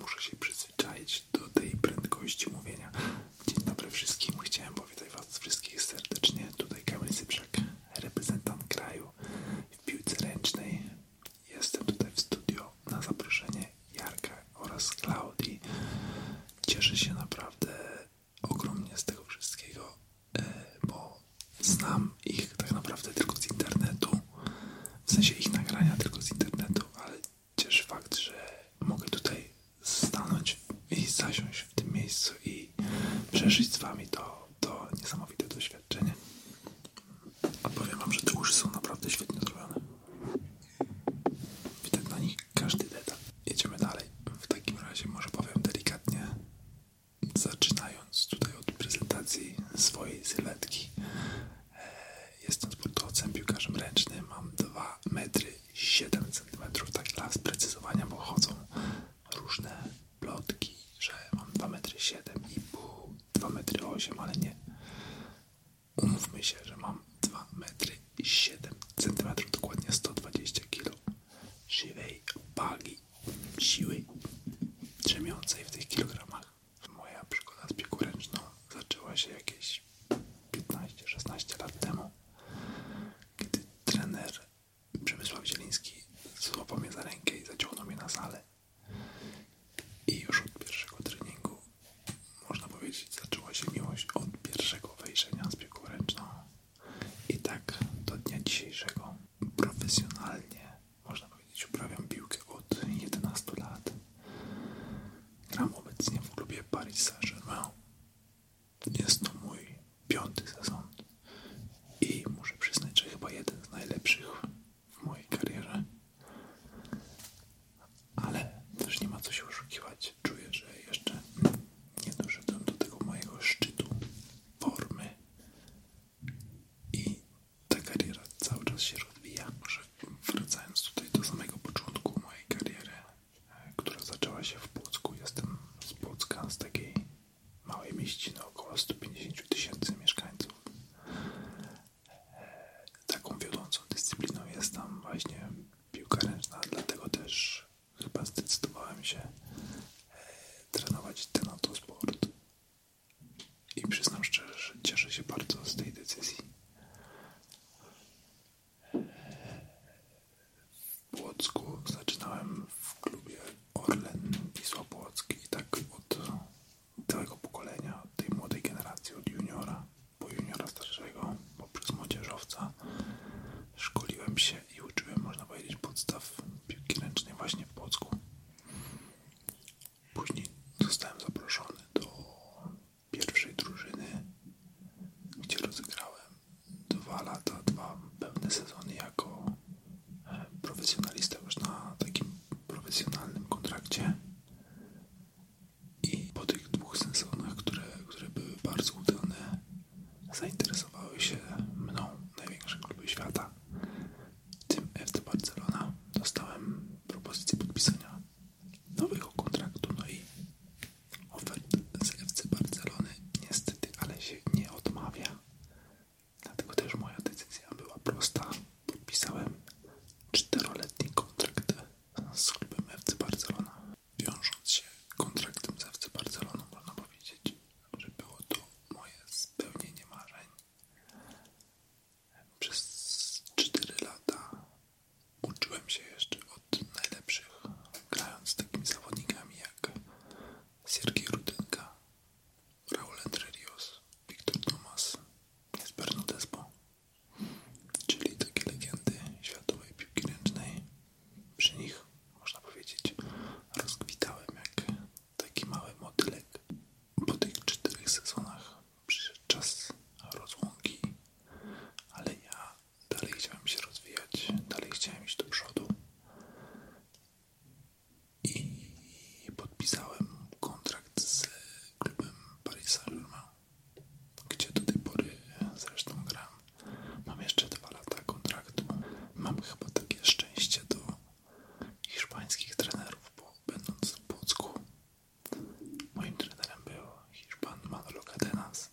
Muszę się przyzwyczaić do tej prędkości mówienia. Dzień dobry wszystkim. Chciałem powitać Was wszystkich serdecznie. Tutaj Kamil Cyprzak, reprezentant kraju w piłce ręcznej. Jestem tutaj w studio na zaproszenie Jarka oraz Klaudii. Cieszę się naprawdę ogromnie z tego wszystkiego, e, bo znam ich tak naprawdę tylko z internetu. W sensie ich nagrania tylko z internetu, ale cieszy fakt, że mogę tutaj stanąć i zasiąść w tym miejscu i przeżyć z wami to, to niesamowite doświadczenie. A wam, że te są naprawdę świetnie zrobione. Witam na nich każdy detal. Jedziemy dalej. W takim razie może powiem delikatnie, zaczynając tutaj od prezentacji swojej sylwetki. Jestem sportowcem, piłkarzem ręcznym, mam 2 metry 7 cm, tak dla sprecyzowania, bo chodzą różne plotki, że mam 2 metry 7 i pół, 2 metry 8, ale nie. Umówmy się, że mam 2 metry 7 cm, dokładnie 120 kg żywej wagi, siły drzemiącej w tych kilogramach. Moja przygoda z piłkuręczną zaczęła się jakieś 15-16 lat temu, kiedy trener Przemysław Zieliński złapał mnie za rękę i zaciągnął mnie na salę. I już od pierwszego treningu, można powiedzieć, zaczęła się miłość od pierwszego wejrzenia z piłką I tak do dnia dzisiejszego profesjonalnie, można powiedzieć, uprawiam piłkę od 11 lat. Gram obecnie w klubie Paris Saint-Germain. Jest to mój piąty sezon i muszę przyznać, że chyba jeden z najlepszych w mojej karierze. Ale też nie ma co się oszukiwać. Czuję, że jeszcze nie doszedłem do tego mojego szczytu formy i ta kariera cały czas się rozwija. Może Wracając tutaj do samego początku mojej kariery, e, która zaczęła się w Płocku. Jestem z Płocka, z takiej małej mieściny, około 150 tysięcy mieszkańców. E, taką wiodącą dyscypliną jest tam właśnie piłka ręczna, dlatego też chyba zdecydowałem się e, trenować ten oto sport. I przyznam szczerze, że cieszę się bardzo z tej decyzji w Płocku zaczynałem w klubie Orlen Wisła Płocki i tak od całego pokolenia, od tej młodej generacji, od juniora po juniora starszego, poprzez młodzieżowca szkoliłem się i uczyłem, można powiedzieć, podstaw piłki ręcznej właśnie w Płocku. Później zostałem zaproszony do pierwszej drużyny, gdzie rozegrałem dwa lata, dwa pełne sezony jako e, profesjonalista już na takim profesjonalnym kontrakcie. I po tych dwóch sezonach, które, które były bardzo udane, zainteresowały się mną największe kluby świata, tym FC Barcelona. Dostałem propozycję podpisania nowego kontraktu, no i ofert z FC Barcelony niestety, ale się nie odmawia. Dlatego też moja decyzja była prosta. Podpisałem czteroletni kontrakt z klubem FC Barcelona. Wiążąc się kontraktem z FC Barceloną, można powiedzieć, że było to moje spełnienie marzeń. Przez 4 lata uczyłem się jeszcze od najlepszych, grając z takimi zawodnikami jak Siergiej Rudynka, Raul Entrerios, Wiktor Tomas, Jesper Despo czyli takie legendy światowej piłki ręcznej. Przy nich, można powiedzieć, rozkwitałem jak taki mały motylek po tych czterech sezonach przyszedł czas rozłąki, ale ja dalej chciałem się rozwijać, dalej chciałem iść do przodu i podpisałem kontrakt z klubem Paris saint gdzie do tej pory zresztą gram. Mam jeszcze dwa lata kontraktu. Mam chyba takie szczęście do hiszpańskich trenerów, bo będąc w Płocku Moim trenerem był Hiszpan Manolo Cadenas.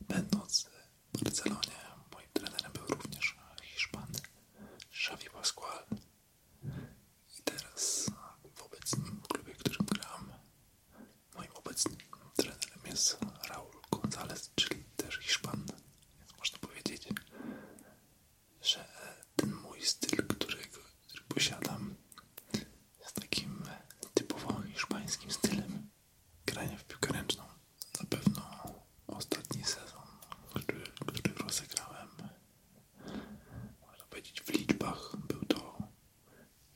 Będąc w Barcelonie, moim trenerem był również Hiszpan Xavi Pascual. I teraz w obecnym klubie, w którym gram, moim obecnym trenerem jest Raul González, czyli też Hiszpan. Więc można powiedzieć, że ten mój styl, który, który posiadam, z takim typowym hiszpańskim stylem grania w piłkę ręczną. Na pewno ostatni sezon, który, który rozegrałem, można powiedzieć w liczbach, był to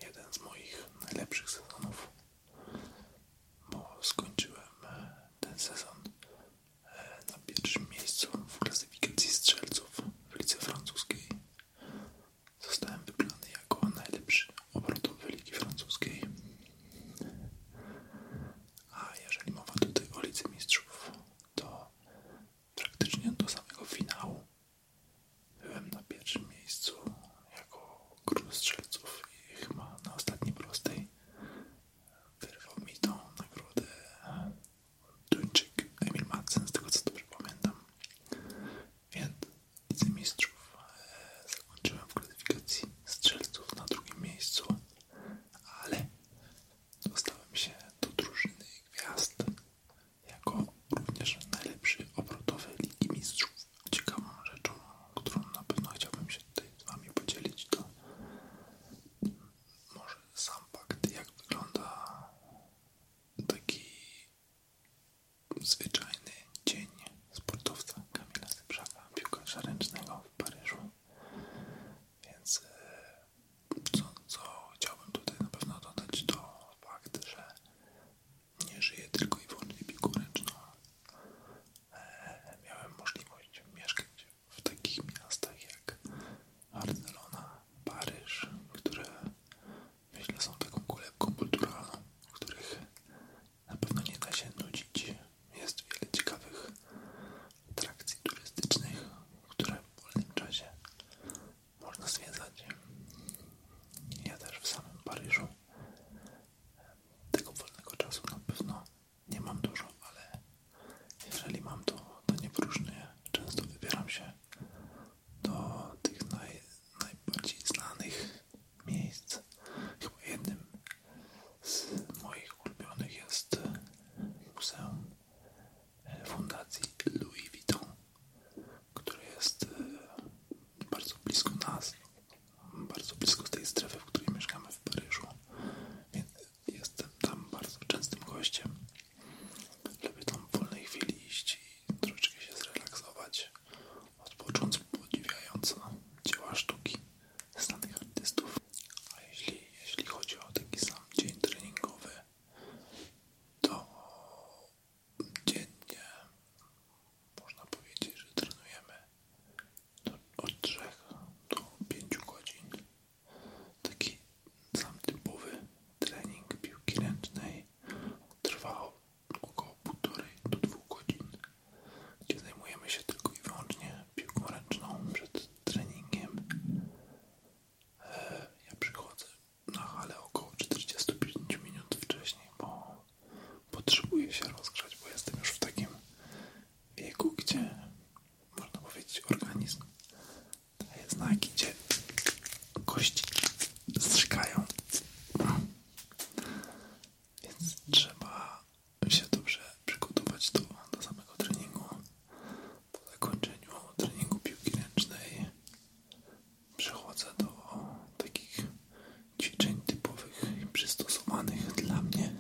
jeden z moich najlepszych sezonów, bo skończyłem ten sezon e, na pierwszym miejscu w klasyfikacji strzelców w lice francuskiej. Zostałem wybrany jako najlepszy obrotowy Ligi Francuskiej. A jeżeli mowa tutaj o Lidze Mistrzów, to praktycznie do samego finału byłem na pierwszym miejscu jako król strzelców i chyba na ostatniej prostej wyrwał mi tą nagrodę Duńczyk Emil Madsen, z tego co dobrze pamiętam. Więc Widzę Mistrzów e, zakończyłem w klasyfikacji strzelców na drugim miejscu, ale dostałem się do drużyny gwiazd jako również najlepszy obrotowy Ligi Mistrzów. Ciekawą rzeczą, którą na pewno chciałbym się tutaj z Wami podzielić, to może sam fakt, jak wygląda taki Zwyczajny dzień sportowca Kamila Zybrzaka, piłkarza ręcznego w Paryżu. Więc e, co, chciałbym tutaj na pewno dodać, to fakt, że nie żyję tylko i wyłącznie piłką ręczną. E, miałem możliwość mieszkać w takich miastach jak Barcelona, Paryż, które myślę, są taką kolebką kulturalną, których na pewno nie da się nudzić. Jest wiele ciekawych atrakcji turystycznych, które w wolnym czasie można zwiedzać. Ja też w samym Paryżu tego wolnego czasu na pewno nie mam dużo, ale jeżeli mam to, to nie próżnię. Często wybieram się do tych najbardziej znanych miejsc. Chyba jednym z moich ulubionych jest Muzeum e, Fundacji Louis Vuitton, które jest e, bardzo blisko nas, bardzo blisko tej strefy, w której mieszkamy w Paryżu. Więc jestem tam bardzo częstym gościem żeby tam w wolnej chwili iść i troszeczkę się zrelaksować, odpocząć podziwiając dzieła sztuki znanych artystów. A jeśli, jeśli chodzi o taki sam dzień treningowy, to dziennie można powiedzieć, że trenujemy od 3 do 5 godzin. Taki sam typowy trening piłki ręcznej Trwało około półtorej do dwóch godzin, gdzie zajmujemy się tylko i wyłącznie piłką ręczną przed treningiem. E, ja przychodzę na hale około 45 minut wcześniej, bo potrzebuję się rozgrzać, bo jestem już w takim wieku, gdzie można powiedzieć organizm daje znaki, gdzie kości strzykają. Więc trzeba się dobrze przygotować do, do samego treningu. Po zakończeniu treningu piłki ręcznej przechodzę do takich ćwiczeń typowych i przystosowanych dla mnie.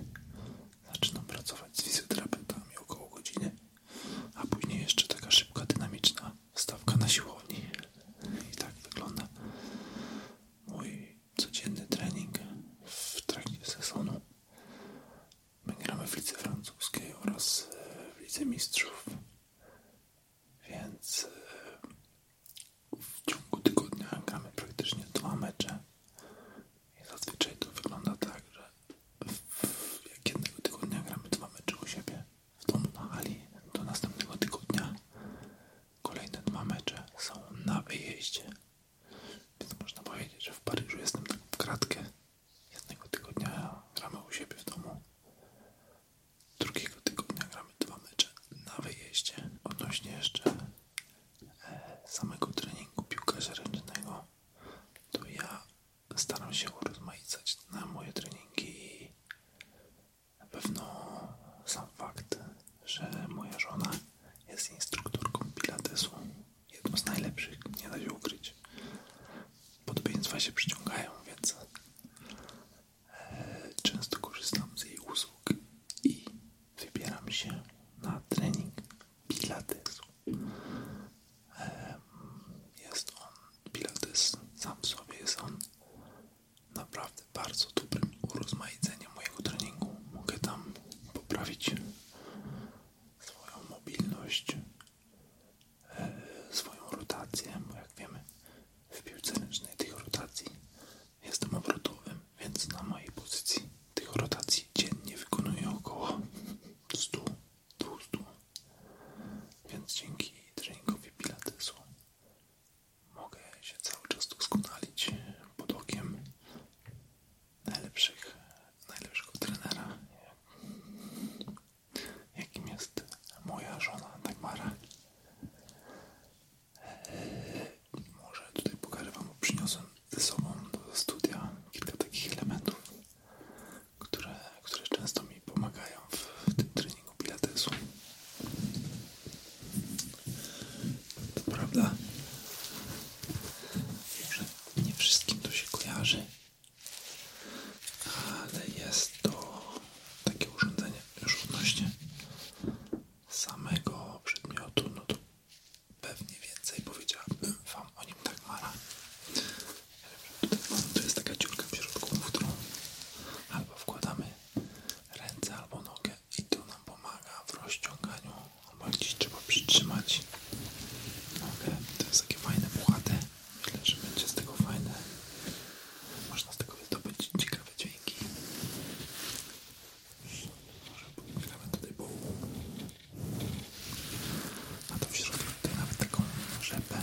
Zaczynam pracować z fizjoterapeutami około godziny, a później jeszcze taka szybka, dynamiczna stawka na siłowni. I tak wygląda mój codzienny trening w trakcie sezonu. My gramy w Lidze Francuskiej oraz e, w Lidze Mistrzów. Więc e, w ciągu tygodnia gramy praktycznie dwa mecze. I zazwyczaj to wygląda tak, że w, jak jednego tygodnia gramy dwa mecze u siebie, w domu na machali do następnego tygodnia. Kolejne dwa mecze są na wyjeździe. Więc można powiedzieć, że w Paryżu jestem tak w kratkę. Jednego tygodnia gramy u siebie w domu. Drugiego tygodnia gramy dwa mecze na wyjeździe. Odnośnie jeszcze e, samego treningu piłkarza ręcznego, to ja staram się urozmaicać na moje treningi na pewno sam fakt, że moja żona jest instruktorką pilatesu, jedną z najlepszych, nie da się ukryć. Podobieństwa się przyciągają, więc e, często korzystam z jej usług i wybieram się na trening pilatesu. E, jest on pilates sam w sobie, jest on naprawdę bardzo dobrym urozmaiceniem mojego treningu. Mogę tam poprawić e, swoją mobilność, e, swoją rotację, bo jak wiemy w piłce ręcznej tych rotacji jestem obrotowym, więc na mojej pozycji tych rotacji dziennie wykonuję około 100-200 więc dzięki treningowi pilatesu mogę się cały czas doskonalić pod okiem najlepszych, najlepszego trenera, jakim jest moja żona Dagmara. Może tutaj pokażę Wam, przyniosłem ze sobą do studia kilka takich elementów, które, które często mi pomagają w tym treningu pilatesu. To prawda, że nie wszystkim to się kojarzy, ale jest to takie urządzenie już odnośnie samego przedmiotu, no to pewnie więcej powiedziałabym Wam o nim tak mala. To jest taka dziurka w środku, w którą albo wkładamy ręce albo nogę i to nam pomaga w rozciąganiu, albo gdzieś trzeba przytrzymać nogę. To jest takie fajne, puchate. Myślę, że będzie z tego fajne. Można z tego wydobyć ciekawe dźwięki. Może pochylamy tutaj połowę. A to w środku tutaj nawet taką rzepę,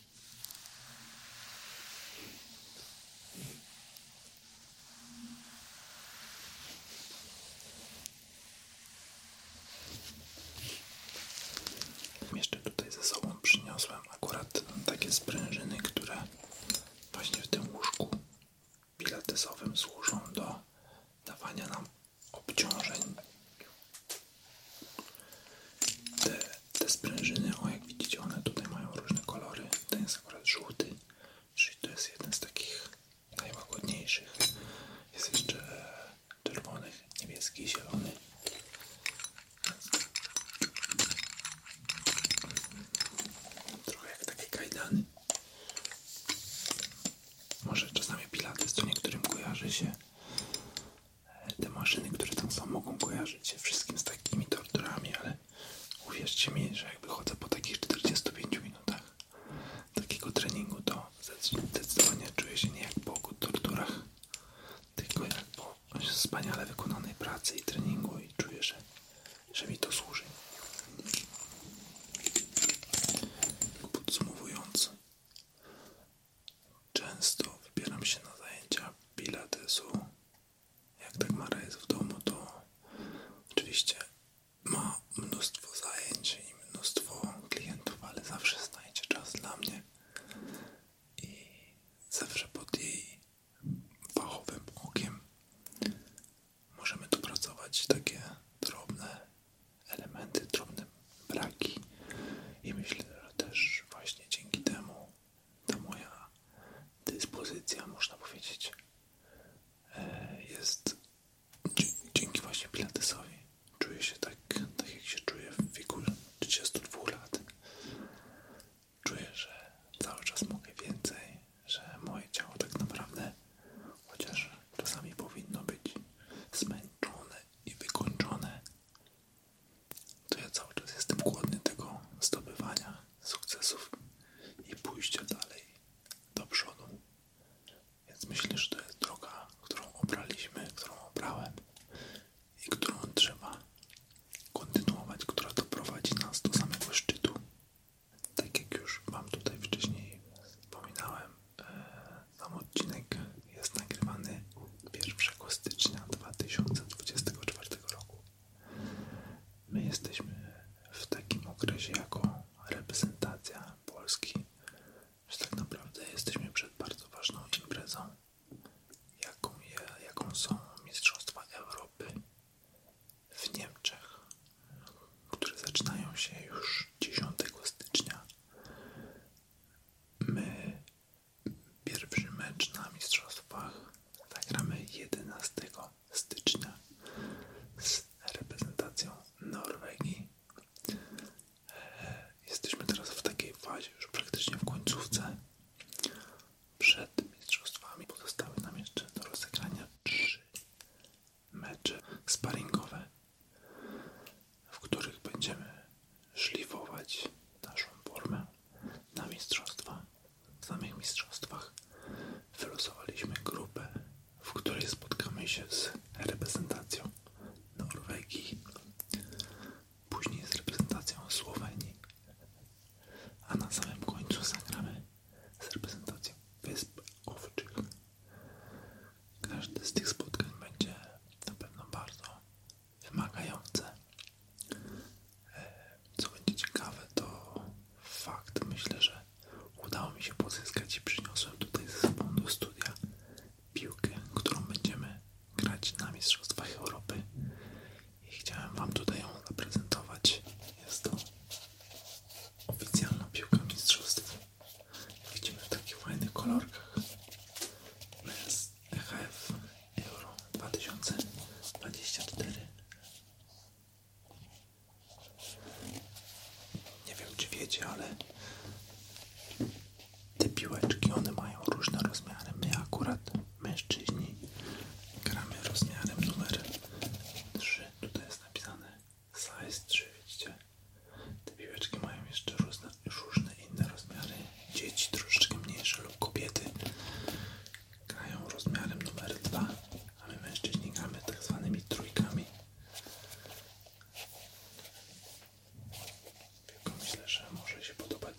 Jeszcze tutaj ze sobą przyniosłem akurat takie sprężyny, które właśnie w tym łóżku pilatesowym służą do dawania nam obciążeń te, te sprężyny, o jak widzicie, one tutaj mają różne kolory. Ten jest akurat żółty, czyli to jest jeden z takich najłagodniejszych. Jest jeszcze czerwony, niebieski, zielony. Trochę jak takie kajdany. Może czasami pilates to niektórym kojarzy się te maszyny, które tam są, mogą kojarzyć się wszystkim z takimi torturami, ale uwierzcie mi, że jakby chodzę po takich 45 minutach takiego treningu, to zdecydowanie czuję się nie jak po torturach, tylko jak po wspaniale wykonanej pracy i treningu i czuję, że, że mi to służy. Podsumowując, Często wybieram się na zajęcia pilatesu. Jak tak Mara jest w domu, to oczywiście ma mnóstwo zajęć i mnóstwo klientów, ale zawsze znajdzie czas dla mnie i zawsze pod jej fachowym okiem możemy tu pracować takie drobne elementy, drobne braki i myślę, że też właśnie dzięki temu ta moja dyspozycja, można powiedzieć, e, jest dzięki właśnie pilatesowi. Czuję się tak, tak jak się czuję w wieku 32 lat. Czuję, że cały czas mogę więcej, że moje ciało tak naprawdę, chociaż czasami powinno być zmęczone i wykończone, to ja cały czas jestem głodny tego zdobywania sukcesów i pójścia dalej do przodu. Więc myślę, że to jest droga, którą obraliśmy, którą obrałem i którą trzeba kontynuować, która doprowadzi nas do samego szczytu. Tak jak już Wam tutaj wcześniej wspominałem, e, sam odcinek jest nagrywany 1 stycznia 2024 roku. My jesteśmy w takim okresie jako reprezentacja Polski, że tak naprawdę jesteśmy przed bardzo ważną imprezą, jaką, są Mistrzostwa Europy w Niemczech, które zaczynają się już 10 stycznia. My Pierwszy mecz na mistrzostwach zagramy 11 stycznia z reprezentacją Norwegii. E, jesteśmy teraz w takiej fazie, już praktycznie w końcówce. Przed mistrzostwami pozostały nam jeszcze do rozegrania trzy mecze sparringowe w których będziemy szlifować naszą formę na mistrzostwa. W samych mistrzostwach wylosowaliśmy grupę, w której spotkamy się z reprezentacją Norwegii, później z reprezentacją Słowenii, a na samym końcu zagramy z reprezentacją Wysp Owczych. Każde z tych spotkań będzie na pewno bardzo wymagające. E, co będzie ciekawe, to fakt, myślę, że udało mi się pozyskać i przyniosłem tutaj ze sobą do studia piłkę, którą będziemy grać na Mistrzostwach Europy i chciałem Wam tutaj ją zaprezentować. Jest to oficjalna piłka mistrzostw. Widzimy w takich fajnych kolorkach. Jest EHF euro 2024. Nie wiem czy wiecie, ale te piłeczki one mają różne rozmiary. My akurat mężczyźni gramy rozmiarem numer 3. Tutaj jest napisane size 3, widzicie? Te piłeczki mają jeszcze różne, różne inne rozmiary dzieci troszeczkę mniejsze lub kobiety grają rozmiarem numer dwa, a my mężczyźni gramy tak zwanymi trójkami. Tylko myślę, że może się podobać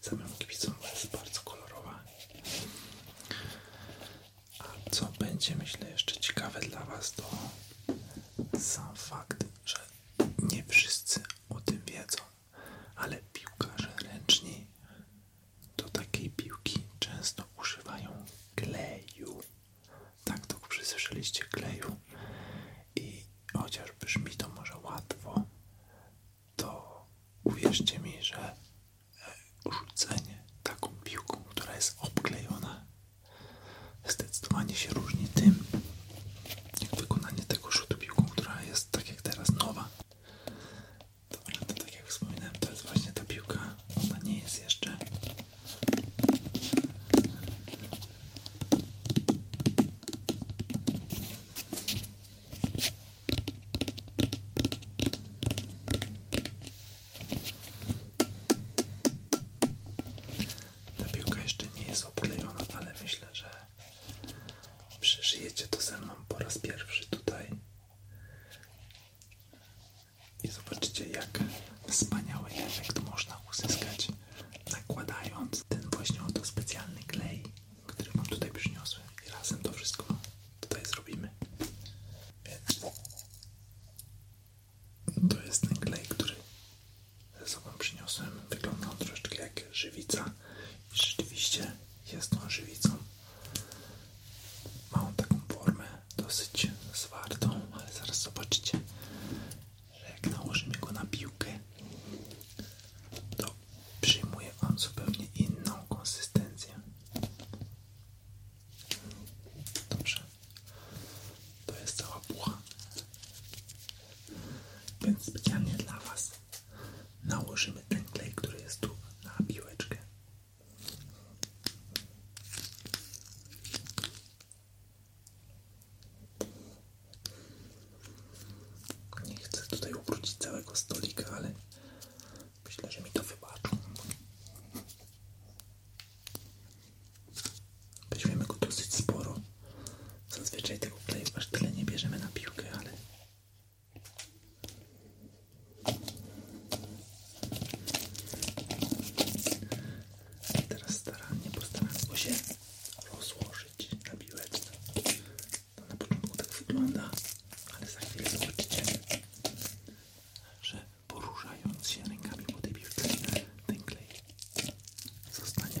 samym kibicom, bo jest bardzo kolorowa. A co będzie, myślę, jeszcze ciekawe dla Was, to sam fakt, że nie wszyscy o tym wiedzą ale piłkarze ręczni do takiej piłki często używają kleju. Tak to przysłyszeliście kleju i chociaż brzmi to może łatwo, to uwierzcie mi, że e, rzucenie taką piłką, która jest obklejona, zdecydowanie się różni tym, wykonanie tego rzutu piłką, która jest tak jak teraz nowa. to tak jak wspominałem, to jest właśnie ta piłka, ona nie jest jeszcze. Ta piłka jeszcze nie jest oplejona, ale myślę, że przeżyjecie to ze mną po raz pierwszy tutaj i zobaczycie jak wspaniały efekt można uzyskać nakładając ten właśnie oto specjalny klej, który mam tutaj przyniosłem i razem to wszystko tutaj zrobimy. Więc to jest ten klej, który ze sobą przyniosłem. Wygląda troszeczkę jak żywica i rzeczywiście jest tą żywicą. Ma on taką formę dosyć zwartą, ale zaraz zobaczycie, że jak nałożymy go na piłkę, to przyjmuje on zupełnie inną konsystencję. Dobrze. To jest cała bucha. Więc specjalnie dla Was nałożymy ten klej, który jest tu na piłeczkę. Nie chcę tutaj obrócić całego stolika, ale myślę, że mi to wybaczą. Weźmiemy go dosyć sporo. Zazwyczaj tego play aż tyle nie bierzemy na piłkę, ale teraz starannie postaram go się rozłożyć na piłeczce. To na początku tak wygląda, ale za chwilę zobaczycie, że poruszając się rękami po tej ten klej zostanie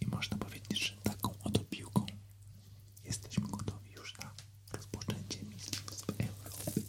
I można powiedzieć, że taką oto jesteśmy gotowi już na rozpoczęcie Mistrzostw Europy.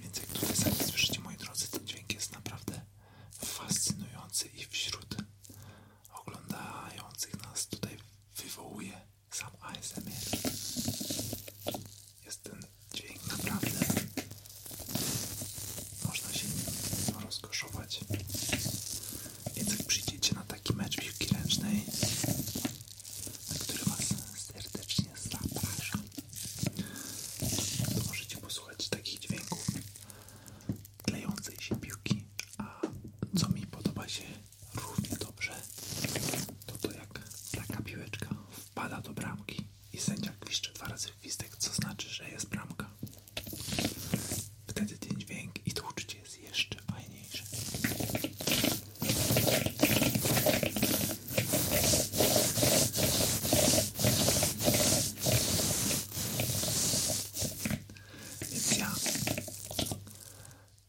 Więc jak tutaj sami słyszycie, moi drodzy, ten dźwięk jest naprawdę fascynujący i wśród oglądających nas tutaj wywołuje sam ASMR. Jest ten dźwięk naprawdę można się rozkoszować. Więc jak przyjdziecie na taki mecz piłki ręcznej, na który Was serdecznie zapraszam, to możecie posłuchać takich dźwięków klejącej się piłki, a co mi podoba się równie dobrze, to to jak taka piłeczka wpada do bramki i sędzia gwiszcze dwa razy gwizdek, co znaczy, że jest bramka. Wtedy ten dźwięk i to jest jeszcze fajniejsze. Więc ja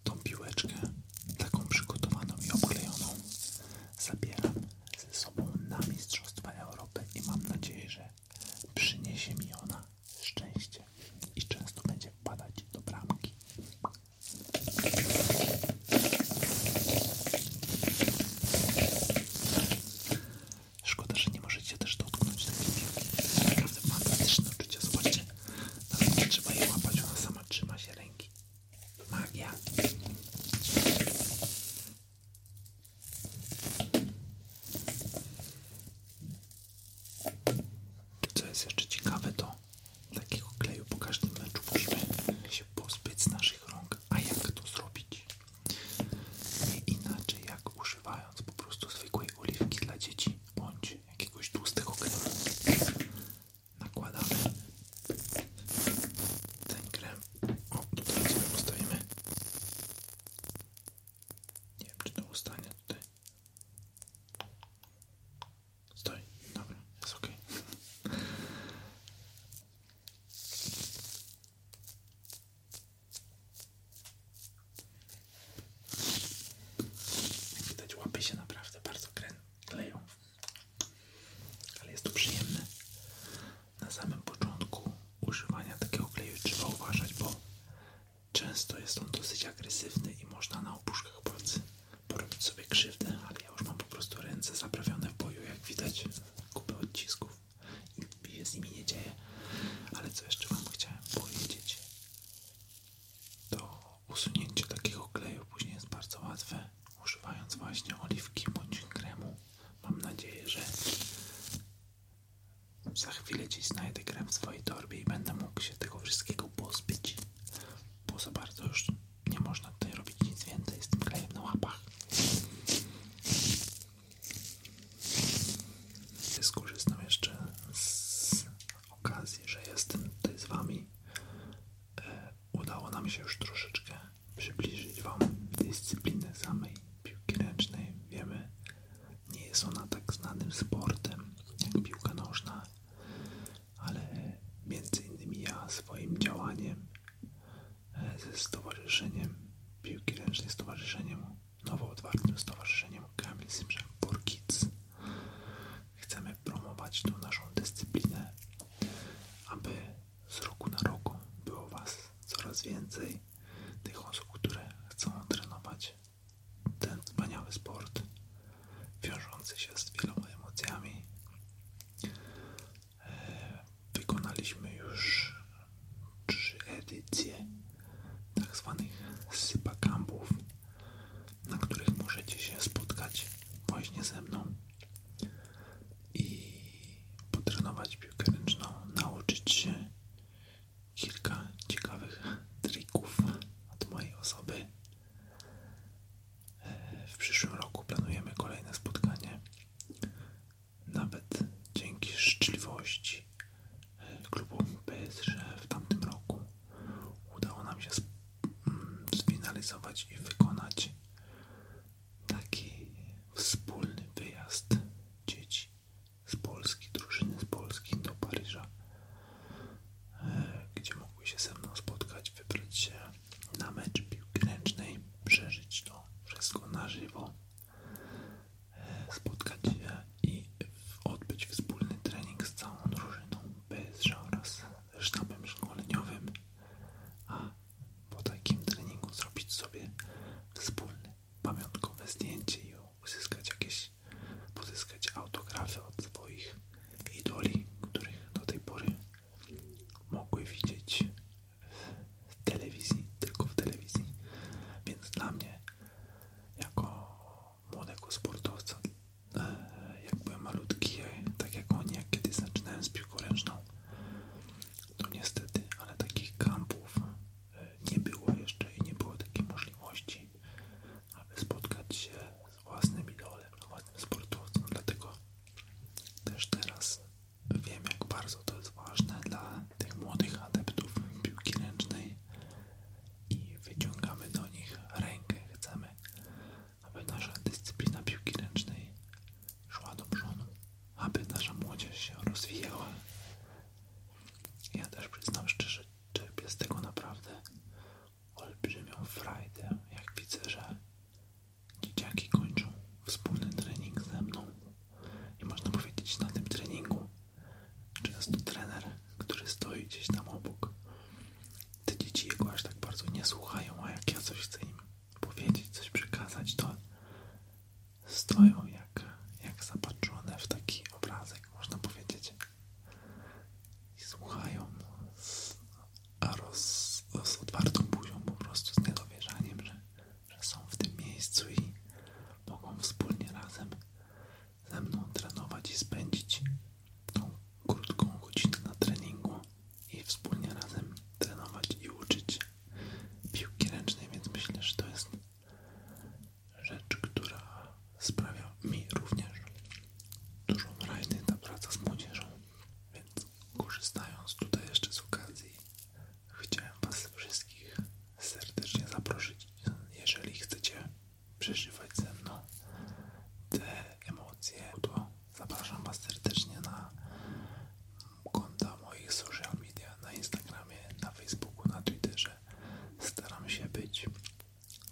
tą piłeczkę, taką przygotowaną i oklejoną, zabieram ze sobą na Mistrzostwa Europy i mam nadzieję, że przyniesie mi ona szczęście i często będzie wpadać do bramki. Szkoda, że nie możecie też dotknąć takiej piłki. Naprawdę fantastyczne uczucie. Zobaczcie, nawet trzeba jej łapać, ona sama trzyma się ręki. Magia. Co jest jeszcze ciekawe, to takiego kleju po każdym meczu musimy się pozbyć z naszych rąk. A jak to zrobić? Nie inaczej jak używając po prostu zwykłej oliwki dla dzieci bądź jakiegoś tłustego kremu. Nakładamy ten krem. O, tutaj sobie postawimy. Nie wiem, czy to ustanie tutaj. Stoi, dobra, jest ok. Jak widać, łapy się naprawdę bardzo kleją. Ale jest to przyjemne. Na samym początku używania takiego kleju trzeba uważać, bo Często jest on dosyć agresywny i można na opuszkach palcy porobić sobie krzywdę, ale ja już mam po prostu ręce zaprawione w boju, jak widać, kupę odcisków i się z nimi nie dzieje. Ale co jeszcze Wam chciałem powiedzieć, to usunięcie takiego kleju później jest bardzo łatwe, używając właśnie oliwki bądź kremu. Mam nadzieję, że za chwilę dziś znajdę krem w swojej torbie i będę mógł się tego wszystkiego pozbyć. Bo za bardzo już nie można tutaj robić nic więcej z tym klejem na łapach. Skorzystam jeszcze z okazji, że jestem tutaj z Wami. E, udało nam się już troszeczkę przybliżyć Wam dyscyplinę samej piłki ręcznej, wiemy, nie jest ona tak znanym sportem jak piłka nożna, ale między innymi ja swoim działaniem e, ze stowarzyszeniem piłki ręcznej, stowarzyszeniem, nowo otwartym stowarzyszeniem Kamil Simrzak for Kids chcemy promować tą naszą dyscyplinę, aby z roku na rok było Was coraz więcej tych osób, które chcą trenować ten wspaniały sport wiążący się z wieloma emocjami. E, wykonaliśmy już trzy edycje tak zwanych sypa sypakampów, na których możecie się spotkać właśnie ze mną i potrenować piłkę ręczną, nauczyć się kilka ciekawych trików od mojej osoby. E, w przyszłym roku planujemy kolejne spotkanie. Nawet dzięki życzliwości e, klubu PSŻ w tamtym roku udało nam się mm, sfinalizować i wykonać taki wspólny wyjazd dzieci z Polski, drużyny z Polski do Paryża, e, gdzie mogły się ze mną spotkać, wybrać się na mecz piłki przeżyć to wszystko na żywo, e, spotkać się i odbyć wspólny trening z całą drużyną bez żadnych sztabem szkoleniowym, a po takim treningu zrobić sobie wspólne pamiątkowe zdjęcie i uzyskać jakieś pozyskać autografy od swoich idoli, których do tej pory mogły widzieć w telewizji, tylko w telewizji. Więc dla mnie, jako młodego sportowca, e, jak byłem malutki, e, tak jak oni, jak kiedyś zaczynałem z piłką ręczną, to niestety, ale takich kampów nie było jeszcze i nie było takiej możliwości, aby spotkać się z własnym idolem, z własnym sportowcem. Dlatego też teraz wiem, jak bardzo to jest ważne dla tych młodych adeptów piłki ręcznej i wyciągamy do nich rękę. Chcemy, aby nasza dyscyplina piłki ręcznej szła do przodu, aby nasza młodzież się rozwijała. Ja też przyznam szczerze, czerpię z tego naprawdę olbrzymią frajdę, jak widzę, że dzieciaki kończą wspólny trening ze mną i można powiedzieć na tym treningu jest często trener, który stoi gdzieś tam obok te dzieci jego aż tak bardzo nie słuchają, a jak ja coś chcę im powiedzieć, coś przekazać, to stoją jak, jak zapatrzone w taki obrazek można powiedzieć. I słuchają a roz, z buzią, po prostu z niedowierzaniem, że, że są w tym miejscu i mogą wspólnie razem ze mną trenować i spędzić tą krótką godzinę na treningu i wspólnie razem trenować i uczyć piłki ręcznej, więc myślę, że to jest Rzecz, która sprawia mi również dużo raźność ta praca z młodzieżą, więc korzystając tutaj jeszcze z okazji, chciałem Was wszystkich serdecznie zaprosić, jeżeli chcecie przeżywać ze mną te emocje, to zapraszam Was serdecznie na konta moich social media, na Instagramie, na Facebooku, na Twitterze, staram się być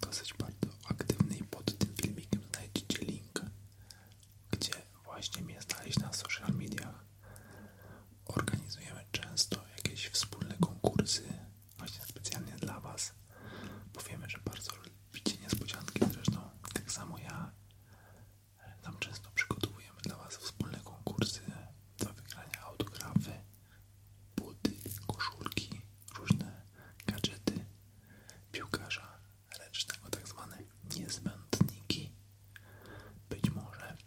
dosyć bardzo aktywny i pod tym filmikiem znajdziecie link, gdzie właśnie mnie znaleźć na social mediach. Organizujemy często jakieś wspólne konkursy właśnie specjalnie dla Was, bo wiemy, że bardzo lubicie niespodzianki, zresztą tak samo ja. E, tam często przygotowujemy dla Was wspólne konkursy do wygrania autografy buty, koszulki, różne gadżety piłkarza ręcznego, tak zwane niezbędniki. Być może,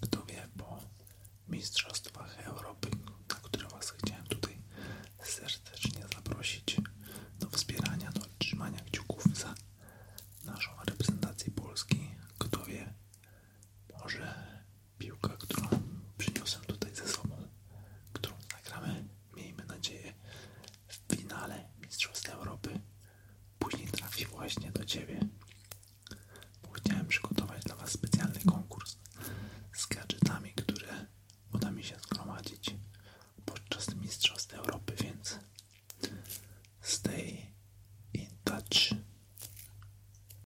kto wie, po Mistrzostwach Europy, na które Was chciałem tutaj serdecznie zaprosić do wspierania, do trzymania kciuków za naszą reprezentację Polski. Kto wie, może piłka, którą przyniosłem tutaj ze sobą, którą nagramy, miejmy nadzieję, w finale Mistrzostw Europy. Później trafi właśnie do Ciebie. Bo chciałem przygotować dla Was specjalny konkurs z gadżetami, które uda mi się zgromadzić podczas Mistrzostw Europy, więc stay in touch.